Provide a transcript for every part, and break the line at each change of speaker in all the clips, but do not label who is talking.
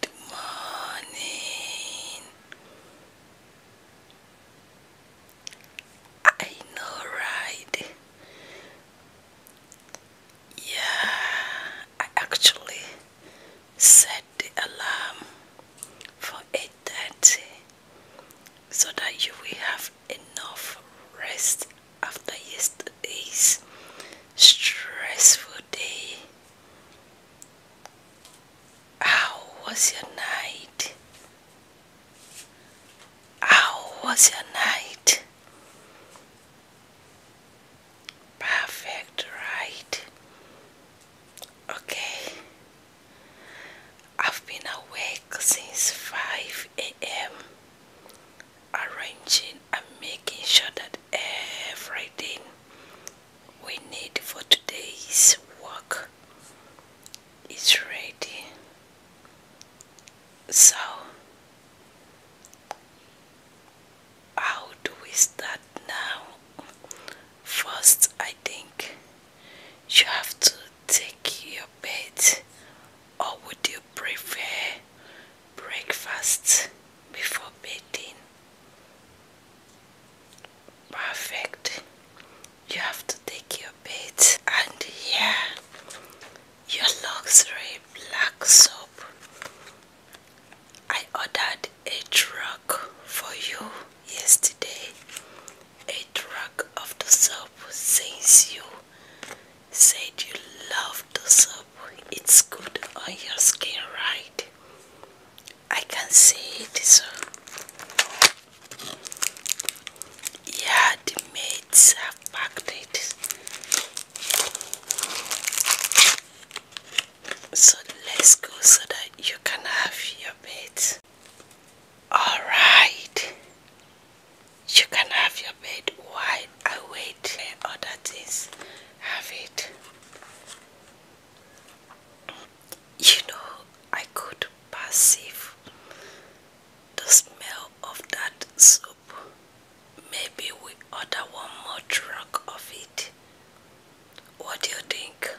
Good morning. I know, right? Yeah, I actually set the alarm for 8:30 so that you will have enough rest after yesterday's stressful day. How was your night? How was your night? Perfect, right? Okay. I've been awake since 5 a.m. arranging and making sure that everything we need for today's work is ready. So, how do we start now? First, I think you have to take your bed, or would you prefer breakfast before bedding? Perfect. You have to take your bait and here your luxury black soap. I ordered a truck for you yesterday. A truck of the soap since you said you love the soap it's good on your skin, right? I can see it. So. Yeah, the maids have packed it. So let's go so that you can have your bed. Alright. You can have your bed while I wait and other things. Have it. You know, I could perceive the smell of that soup. Maybe we order one more truck of it. What do you think?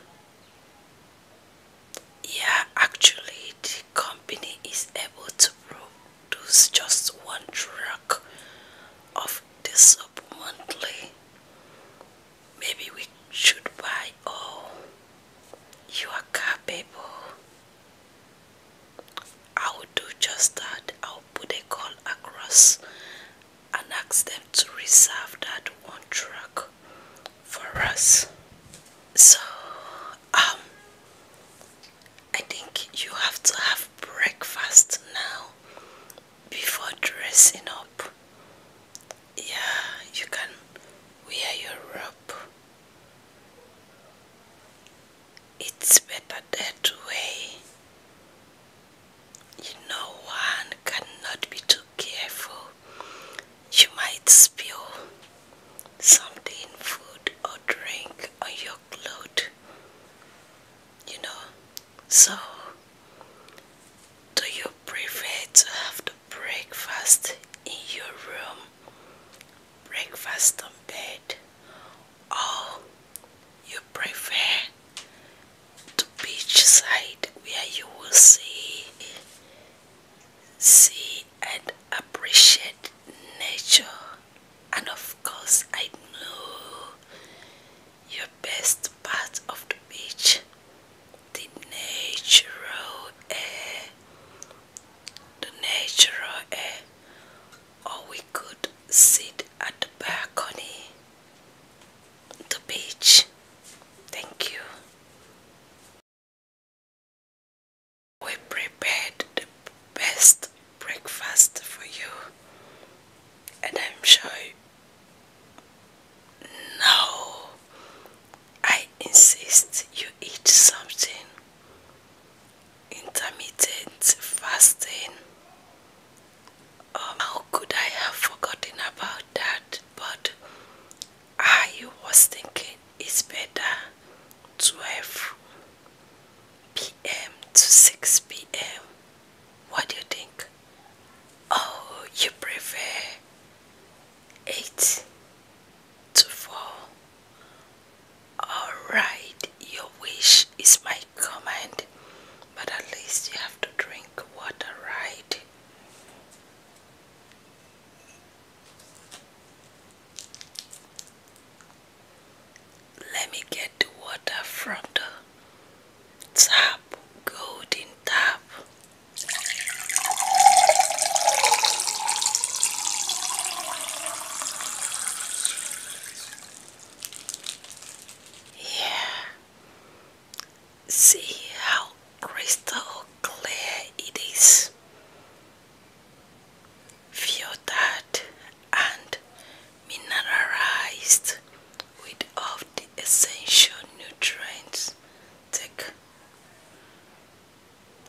Yeah, actually, the company is able to produce just one truck of this soup monthly. Maybe we should buy all your car paper. I will do just that. I'll put a call across and ask them to reserve that one truck for us. So, um, I think you have to have breakfast now before dressing up yeah you can wear your robe it's better that way you know one cannot be too careful you might spill something food or drink on your clothes you know so do you prefer to have the breakfast in your room, breakfast on bed, or you prefer the beach side where you will see, see and appreciate nature? And of course, I know your best part of the beach, the natural air, the natural air, or we could sit at the balcony, the beach. Thank you. We prepared the best breakfast for you, and I'm sure. No, I insist you eat something. Intermittent fasting. Um, how could I have forgotten about that? But I was thinking it's better to 12 p.m. to 6 p.m. What do you think? Oh, you prefer eight to four. Alright, your wish is my command, but at least you have to drink water, right? let me get the water from the tap, golden tap. Yeah, see how crystal clear it is. Feel that and mineralized with all the essential nutrients. Take.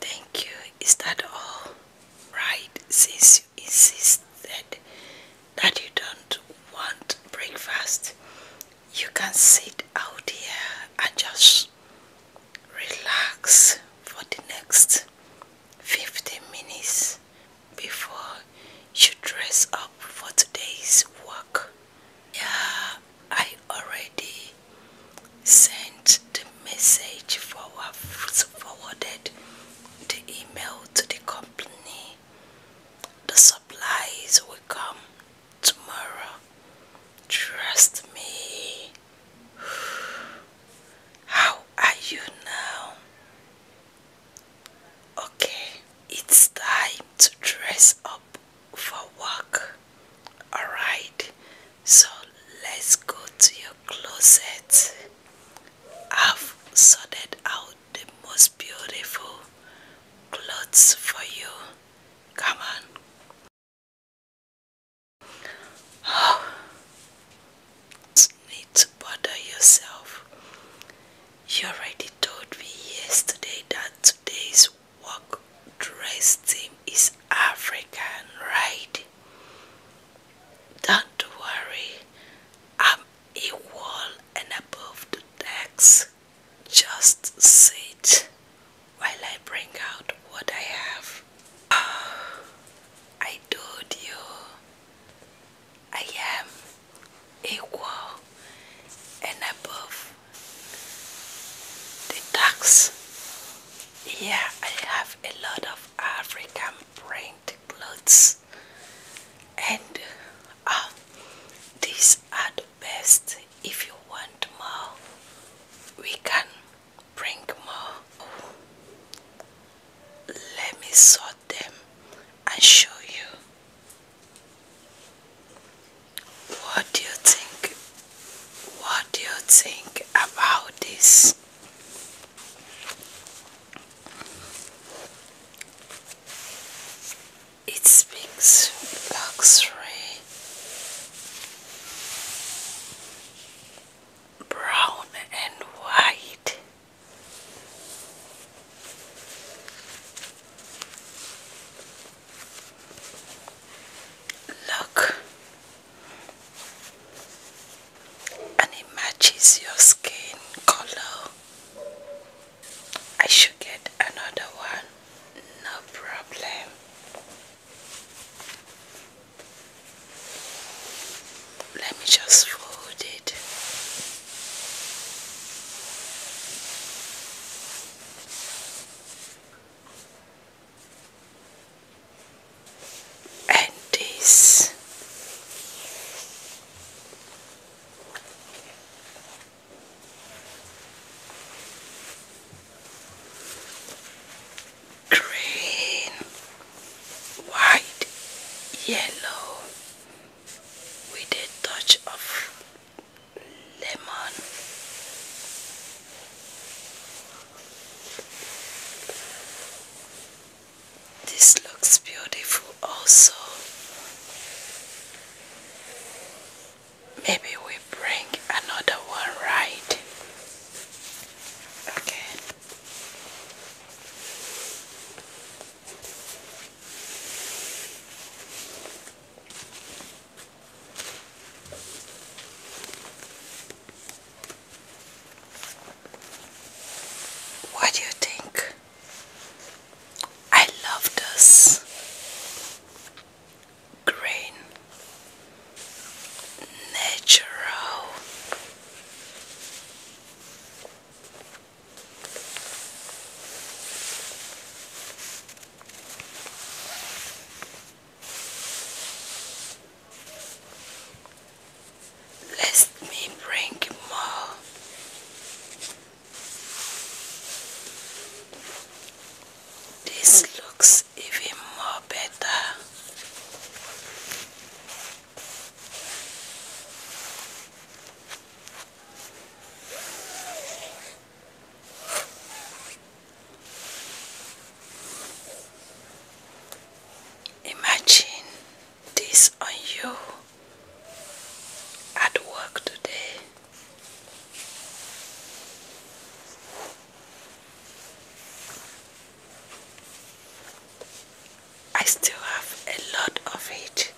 Thank you. Is that all right? Since you insisted that you don't want breakfast, you can sit out here and just relax for the next 15 minutes before you dress up for today's work. Yeah, I already sent the message forwarded the email to the company. The supplies will come tomorrow. Trust me. How are you now? Okay, it's time to dress up for work. Alright, so let's go to your closet. I've sorted out the most beautiful clothes for you. Come on. Oh, need to bother yourself. You already told me yesterday that today's work dress team is African, right? Don't worry, I'm equal and above the decks. Just sit while I bring out what I have. I told you I am equal and above the tax. Yeah, I have a lot of African print clothes, and uh, these are the best. If you want more, we can bring more. Oh, let me sort them and show you. What do you think? What do you think about this? It speaks luxury, brown and white. Look, and it matches your skin color. I should get another one, no problem let me just fold it. And this green, white, yellow, with a touch of lemon this looks beautiful also maybe we bring another one right okay what do you think? I love this green natural let me bring more. This looks even more better. Imagine this on you at work today. I still have a lot of it.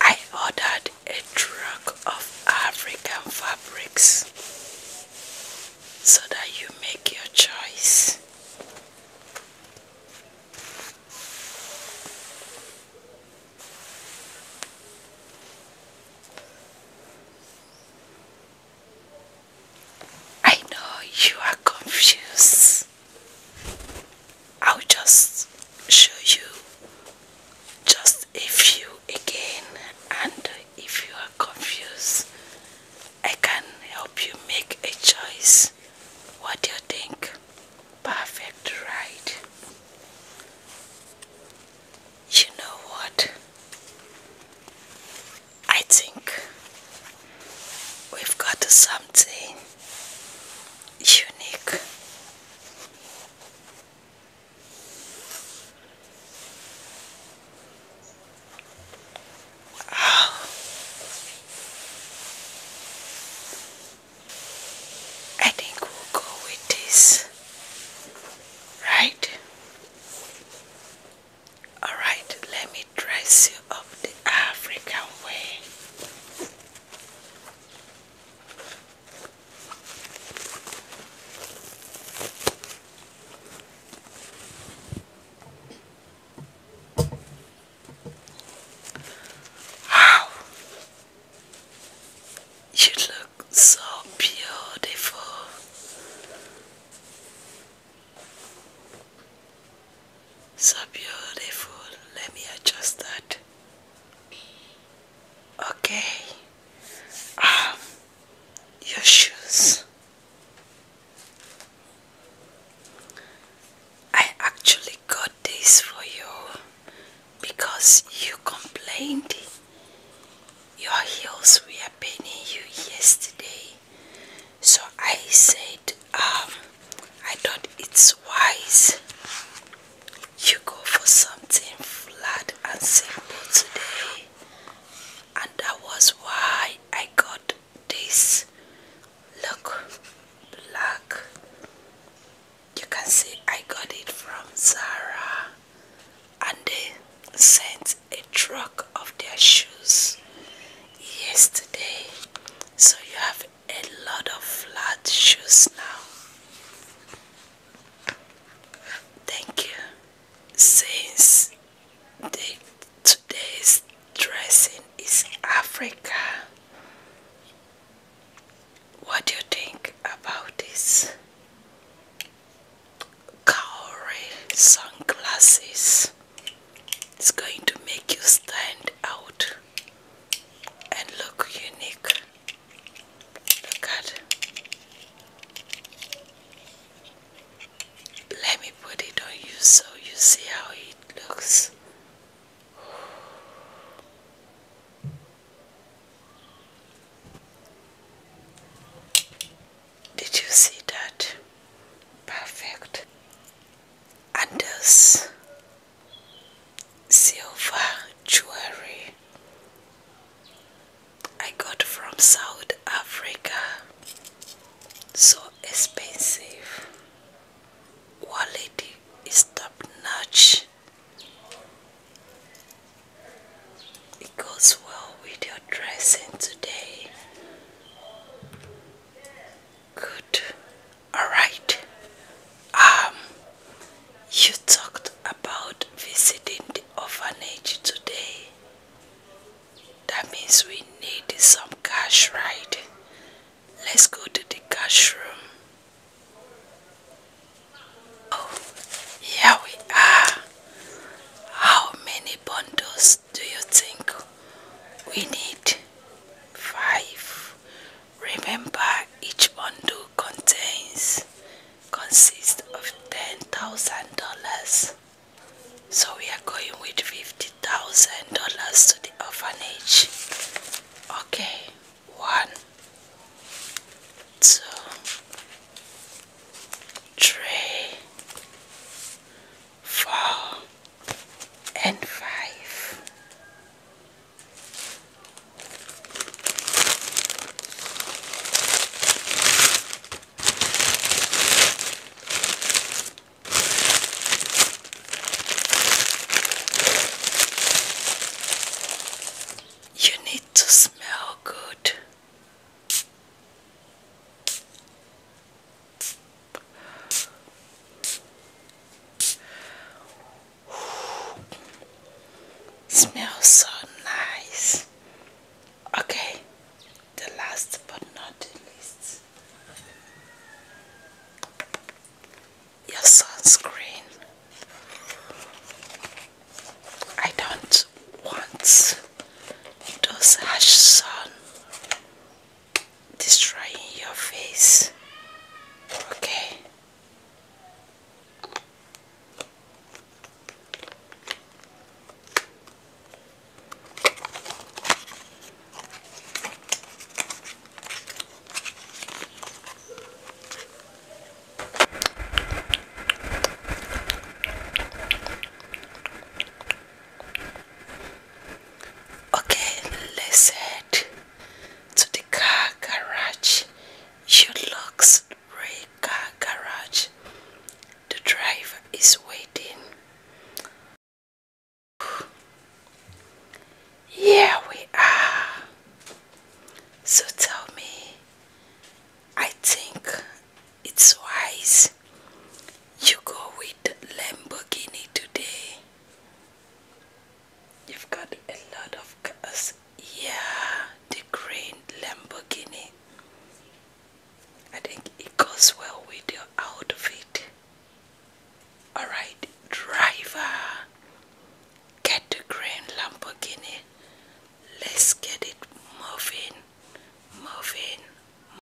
I ordered a truck of African fabrics so that you make your choice. I know you are confused. I'll just show you just a few again and if you are confused I can help you make a choice. What do you think? Perfect, right? You know what? I think we've got something unique. I think we'll go with this, right? All right, let me dress you up the African way. How you look so beautiful. So beautiful. Let me adjust that. Okay. Um, your shoes. I actually got this for you because you complained your heels were paining you yesterday so I said, um, I thought it's wise you go for something flat and simple today, and that was why I got this look black. You can see I got it from Zara, and they sent a truck of their shoes yesterday so you have a lot of flat shoes now. Thank you. Since today's dressing is Africa, what do you think about this? Cowrie sunglasses. It's going to make you stand out and look unique. Look at Let me put it on you so you see how it looks. Did you see that? Perfect others silver jewelry I got from South Africa so expensive quality is notch it goes well with your dressing today Good. All right. Um, you talked about visiting the orphanage today. That means we need some cash, right? Let's go to the cash room. Oh, here we are. How many bundles do you think we need? 5. Remember each bundle contains consists of $10,000. So we are going with $50,000 to the orphanage. Okay, one, two, three, four and five. You need to smell good. Smells so nice. Okay, the last but not least, your sunscreen. I don't want those sun destroying your face okay Okay, let to the car garage. You looks gray car garage. The driver is waiting. Here we are. So tell me, I think it's wise you go with Lamborghini today. You've got a lot of cars. Yeah, the green Lamborghini. I think it goes well with your outfit. Alright, driver, get the green Lamborghini. Let's get it moving, moving.